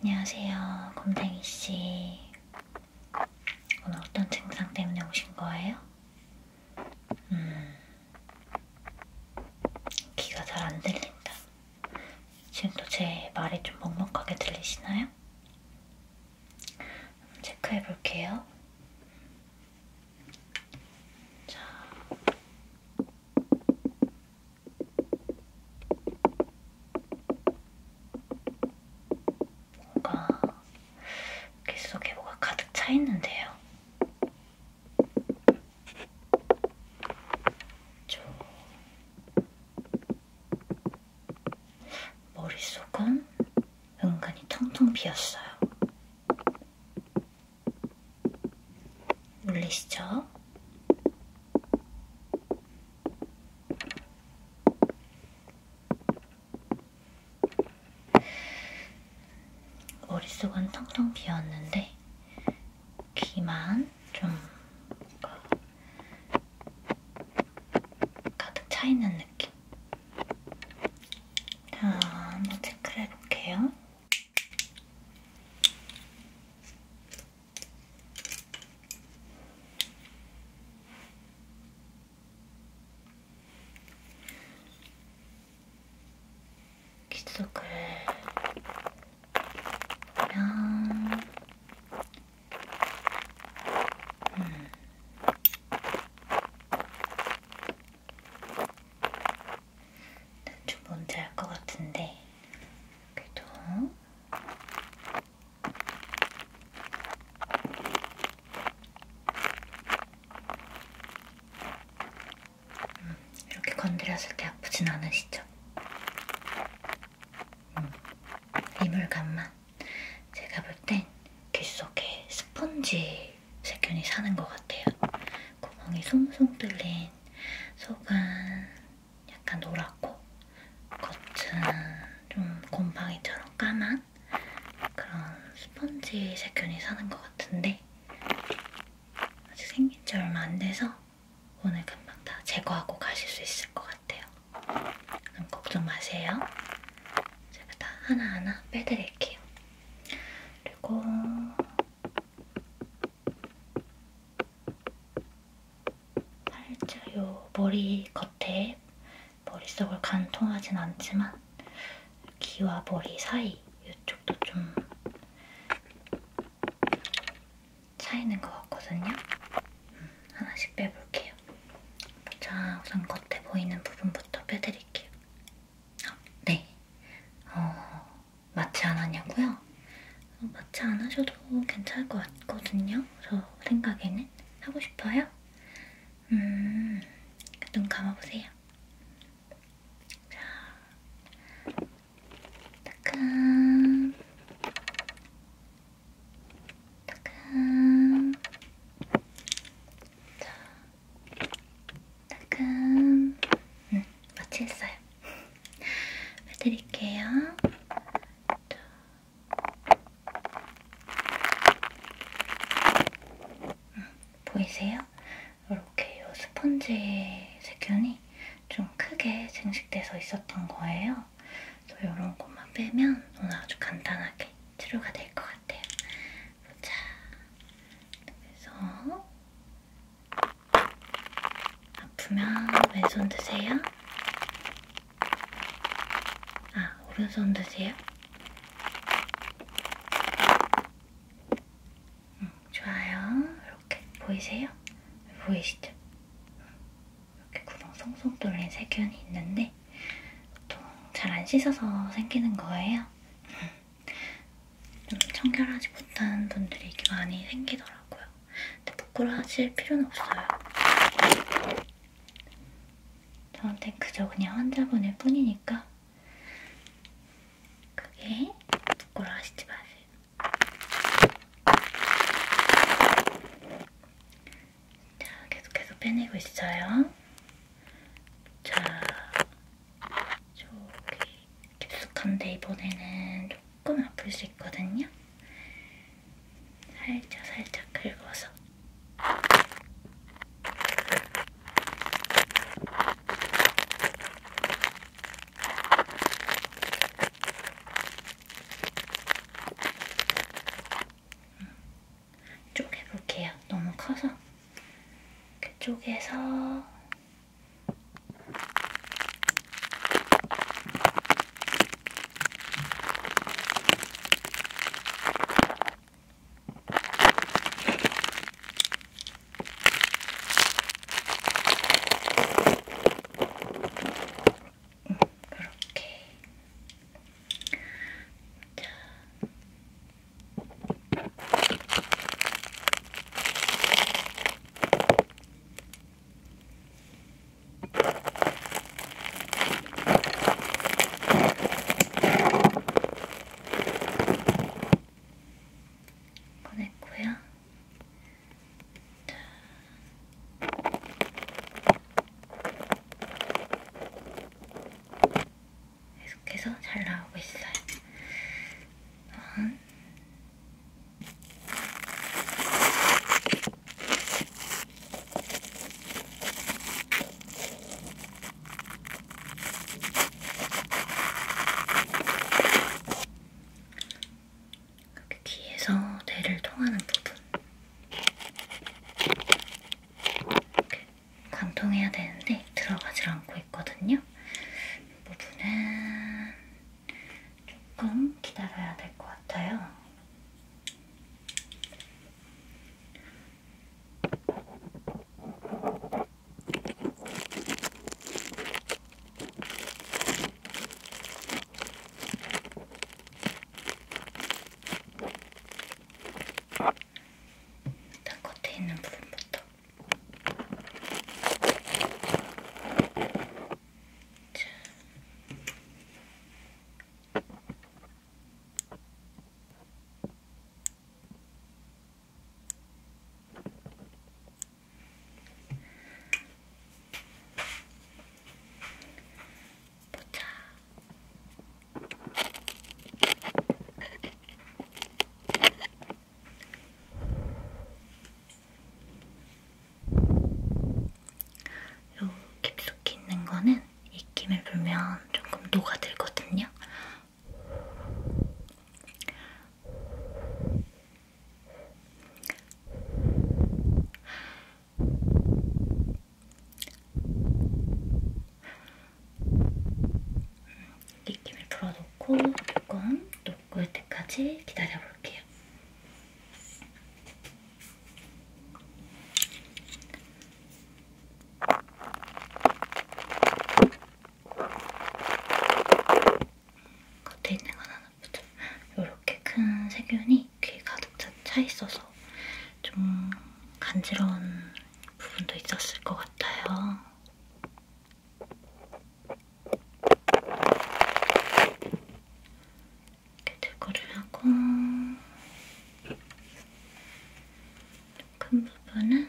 안녕하세요, 검댕이 씨. 오늘 어떤 증상 때문에 오신 거예요? 음, 귀가 잘 안 들린다. 지금도 제 말이 좀 먹먹하게 들리시나요? 체크해 볼게요. 자, 뭔가 귓속에 뭐가 가득 차 있는데요. 저 머릿속은 은근히 텅텅 비었어요. 물리시죠? 머릿속은 텅텅 비었는데 귀만 좀 가득 차있는 느낌 자, 한번 체크를 해볼게요 きつくいやうん좀 뭔지 알 것 같은데 그래도 음, 이렇게 건드렸을 때 아프진 않으시죠? 음, 이물감만 제가 볼 땐 귓속에 스펀지 세균이 사는 것 같아요. 구멍이 송송 뚫린 속은 약간 노랗고 겉은 좀 곰팡이처럼 까만 그런 스펀지 세균이 사는 것 같은데 아직 생긴 지 얼마 안 돼서 오늘 금방 다 제거하고 가실 수 있을 것 같아요. 그럼 걱정 마세요. 제가 다 하나하나 빼드릴게요. 그리고 살짝 요 머리 겉에 머릿속을 관통하진 않지만 귀와 머리 사이 이쪽도 좀 차이는 것 같거든요. 음, 하나씩 빼볼게요. 자, 우선 겉에 보이는 부분부터 빼드릴게요. 아, 네. 어, 마취 안 하냐고요? 마취 안 하셔도 괜찮을 것 같거든요. 저 생각에는 하고 싶어요. 음, 눈 감아보세요. 자, 따끔, 따끔, 자, 따끔. 음, 마취했어요. 해드릴게요. 음, 보이세요? 이렇게 요 스펀지 세균이 좀 크게 증식돼서 있었던 거예요. 또 이런 것만 빼면 오늘 아주 간단하게 치료가 될 것 같아요. 보자. 그래서 아프면 왼손 드세요. 아, 오른손 드세요. 응, 음, 좋아요. 이렇게 보이세요? 보이시죠? 이렇게 구멍 송송 뚫린 세균이 있는데 보통 잘 안 씻어서 생기는 거예요. 좀 청결하지 못한 분들이 이렇게 많이 생기더라고요. 근데 부끄러워하실 필요는 없어요. 저한텐 그저 그냥 환자분일 뿐이니까 그게 부끄러워하시지 마세요. 자, 계속해서 빼내고 있어요. 자, 저기 깊숙한데 이번에는 조금 아플 수 있거든요. 살짝 살짝 긁어서. 음, 쪼개볼게요. 너무 커서. 이렇게 쪼개서 음, 그렇게 자. 보냈고요. 계속해서 잘 나오고 있어요. 어, 이렇게 귀에서 뇌를 통하는 부분 이렇게 관통해야 되는데 들어가질 않고 있거든요. 이 부분은 조금 기다려야 될 것 같아요. 딱 겉에 있는 부분부터 보자. 요 깊숙이 있는 거는 익힘을 불면 조금 녹아들거든요. 익힘을 불어놓고 조금 녹을 때까지 기다려볼게요. 볼게요. 겉에 있는 건 하나보다 이렇게 큰 세균이 귀에 가득 차 있어서 좀 간지러운 부분도 있었을 것 같아요. 이렇게 제거를 하고 큰 부분은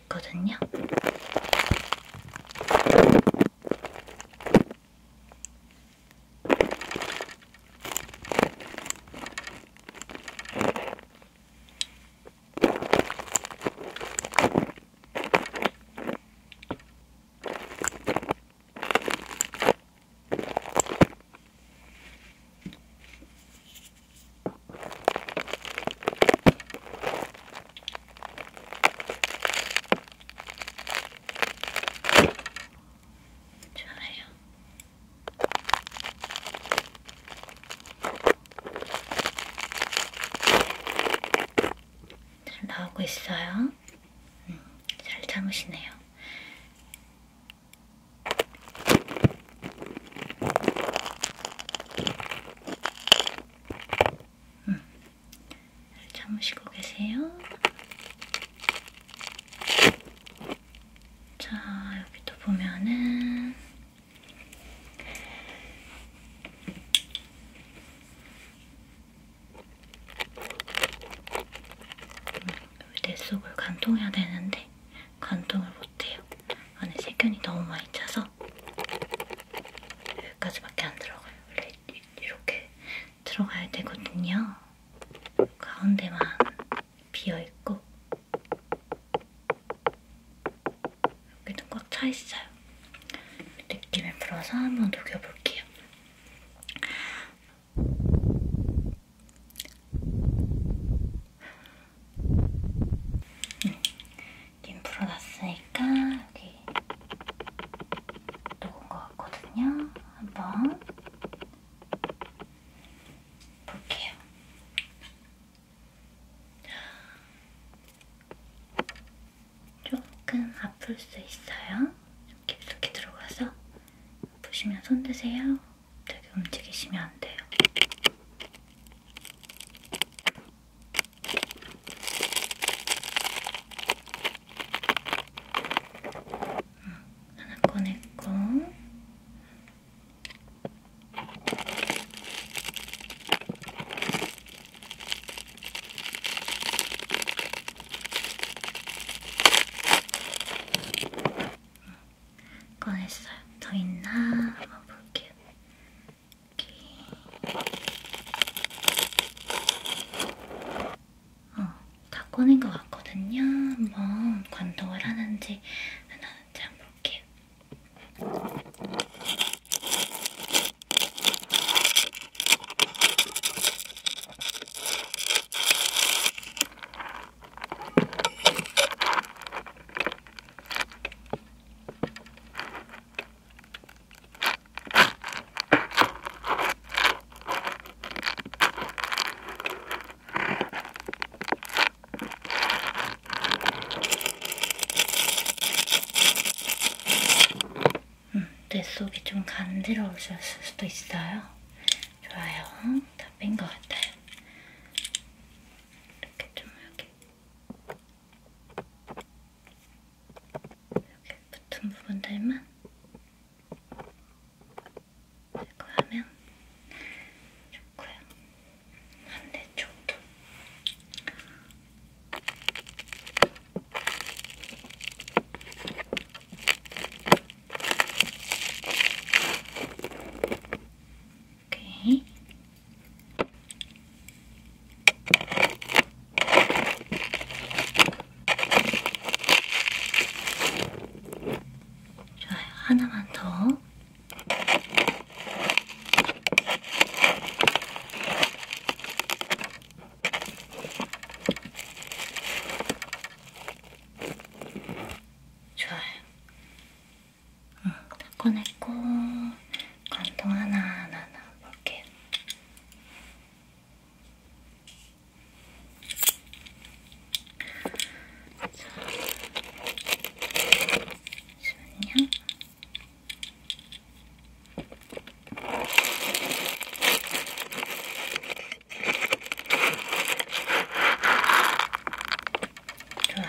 수 있거든요. 좋아요. 잘 나오고 있어요. 음, 잘 참으시네요. 음. 참으시고 계세요. 자, 여기도 보면은 내 음, 속을 관통해야 되는데 관통을 못해요. 안에 세균이 너무 많이 차서 여기까지밖에 안 들어가요. 원래 이렇게 들어가야 되거든요. 가운데만 비어있고 여기도 꽉 차있어요. 느낌을 풀어서 한번 녹여볼게요. 음, 김 풀어놨으니까 여기 녹은 것 같거든요. 한번 볼게요. 조금 아플 수 있어요. 깊숙이 들어가서 보시면 손 드세요. 되게 움직이시면 안 돼요. 하나 꺼냈고 꺼냈어요. 더 있나? 한번 볼게요. 어, 다 꺼낸 것 같거든요. 한번 관통을 하는지 안 하는지 한번 볼게요. 음, 뇌속이 좀 간지러우셨을 수도 있어요. 좋아요. 다 뺀 것 같아요. 이렇게 좀 여기 이렇게 붙은 부분들만 제거하면 좋고요. 반대쪽도 오케이. 좋아요. 하나만 더. 좋아요. 응, 다 꺼냈고 관통 하나하나 넣어볼게요. 자, 잠시만요. 좋아요.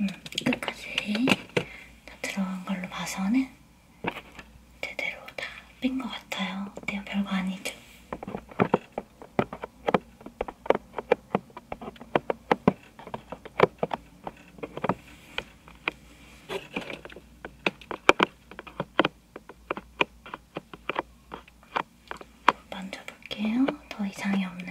음, 끝까지 다 들어간 걸로 봐서는 제대로 다 뺀 것 같아요. 어때요? 별거 아니죠? 만져볼게요. 더 이상이 없는지.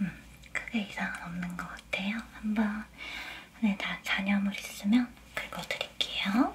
음, 크게 이상은 없는 것 같아요. 한번 안에 다 잔여물 있으면 긁어드릴게요.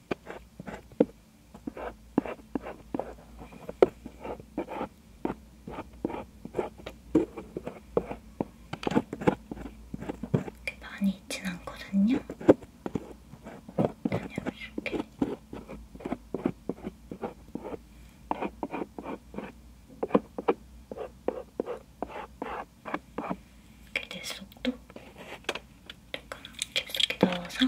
이렇게 많이 있진 않거든요. 그냥 이렇게. 이렇게 내 속도 약간 깊숙이 넣어서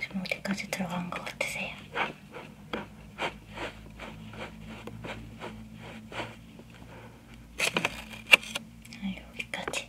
지금 어디까지 들어간 것 같으세요? 아, 여기까지.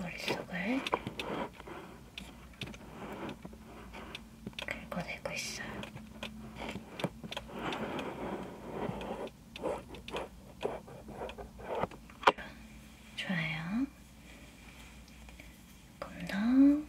머릿속을 긁어내고 있어요. 좋아요. 조금 더.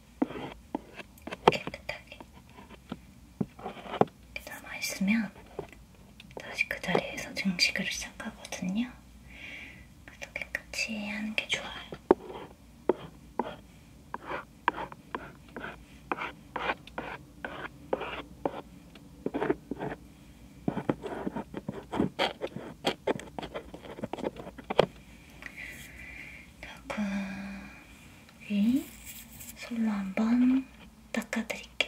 깨끗하게 남아있으면 다시 그 자리에서 증식을 시작하거든요. 그래서 깨끗이 하는 게 좋아요. 조금 여기 솔로 한번 닦아드릴게요.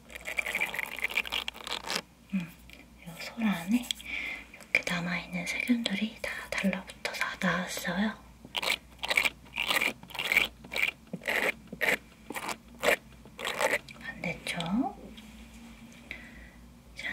음, 이솔 안에 이렇게 남아있는 세균들이 다 달라붙어서 나왔어요. 반대쪽. 자.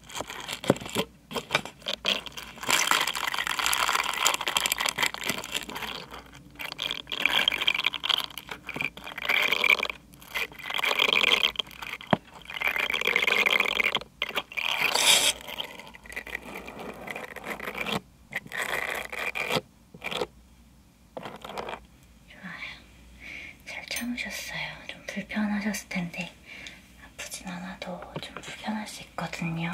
좋아요. 잘 참으셨어요. 좀 불편하셨을 텐데 아프진 않아도 좀 불편할 수 있거든요.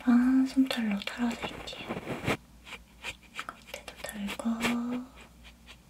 반 아, 솜털로 털어드릴게요. 겉에도 털고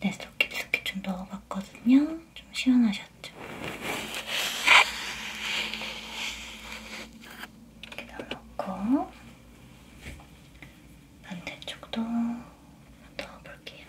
넷속 네, 깊숙이 좀 넣어봤거든요. 좀 시원하셨죠? 이렇게 넣어놓고 반대쪽도 넣어볼게요.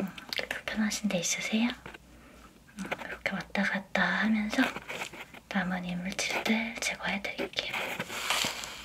음, 불편하신 데 있으세요? 음, 이렇게 왔다 갔다 하면서 남은 이물질들 제거해 드릴게요. 음,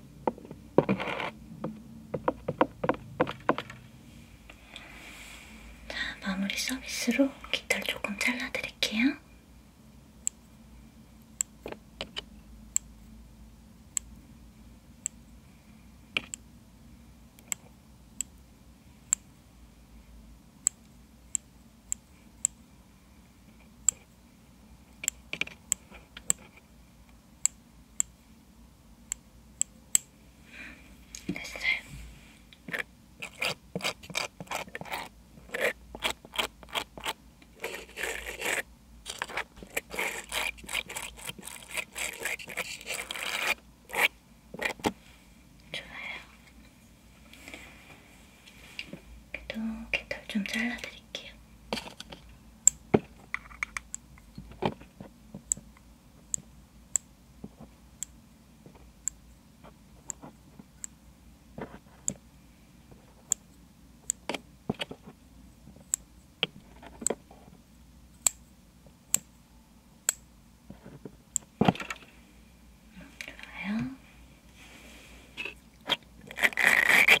자, 마무리 서비스로 깃털 조금 잘라드릴게요. 됐어요. 좋아요. 그래도 깃털 좀 잘라드릴게요. 좋아요.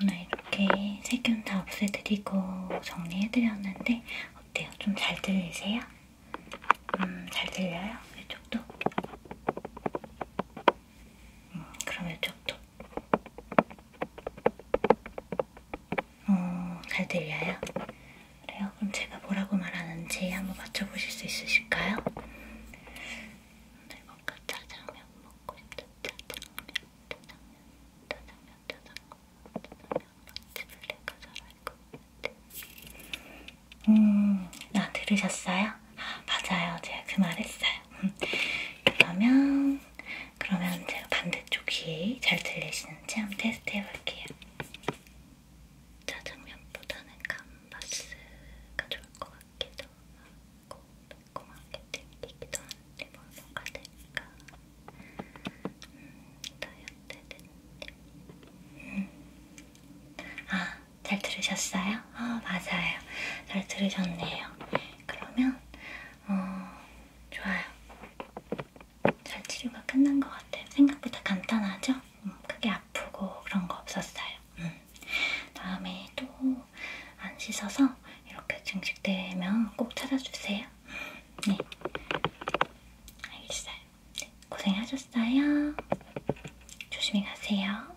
오늘 이렇게 세균 다 없애드리고 정리해드렸는데 어때요? 좀 잘 들리세요? 음, 잘 들려요? 이쪽도? 음, 그럼 이쪽도? 어, 잘 들려요? 그래요? 그럼 제가 뭐라고 말하는지 한번 맞춰보실 수 있으실까요? 오늘 네, 뭔가 뭐, 그 짜장면 먹고 싶다 짜장면 짜장면 짜장면 짜장면, 짜장면 맛집을 내가 잘알것 같아. 음, 아, 들으셨어요? 아, 맞아요. 제가 그 말했어요. 음, 그러면, 그러면 제가 반대쪽 귀에 잘 들리시는지 한번 테스트 해볼게요. 짜장면보다는 감바스가 좋을 것 같기도 하고, 매콤하게 땡기기도 한데, 뭘먹가 될까? 음. 아, 잘 들으셨어요? 아, 맞아요. 잘 들으셨네요. 그러면, 어, 좋아요. 잘 치료가 끝난 것 같아요. 생각보다 간단하죠? 음, 크게 아프고 그런 거 없었어요. 음. 다음에 또 안 씻어서 이렇게 증식되면 꼭 찾아주세요. 네. 알겠어요. 고생하셨어요. 조심히 가세요.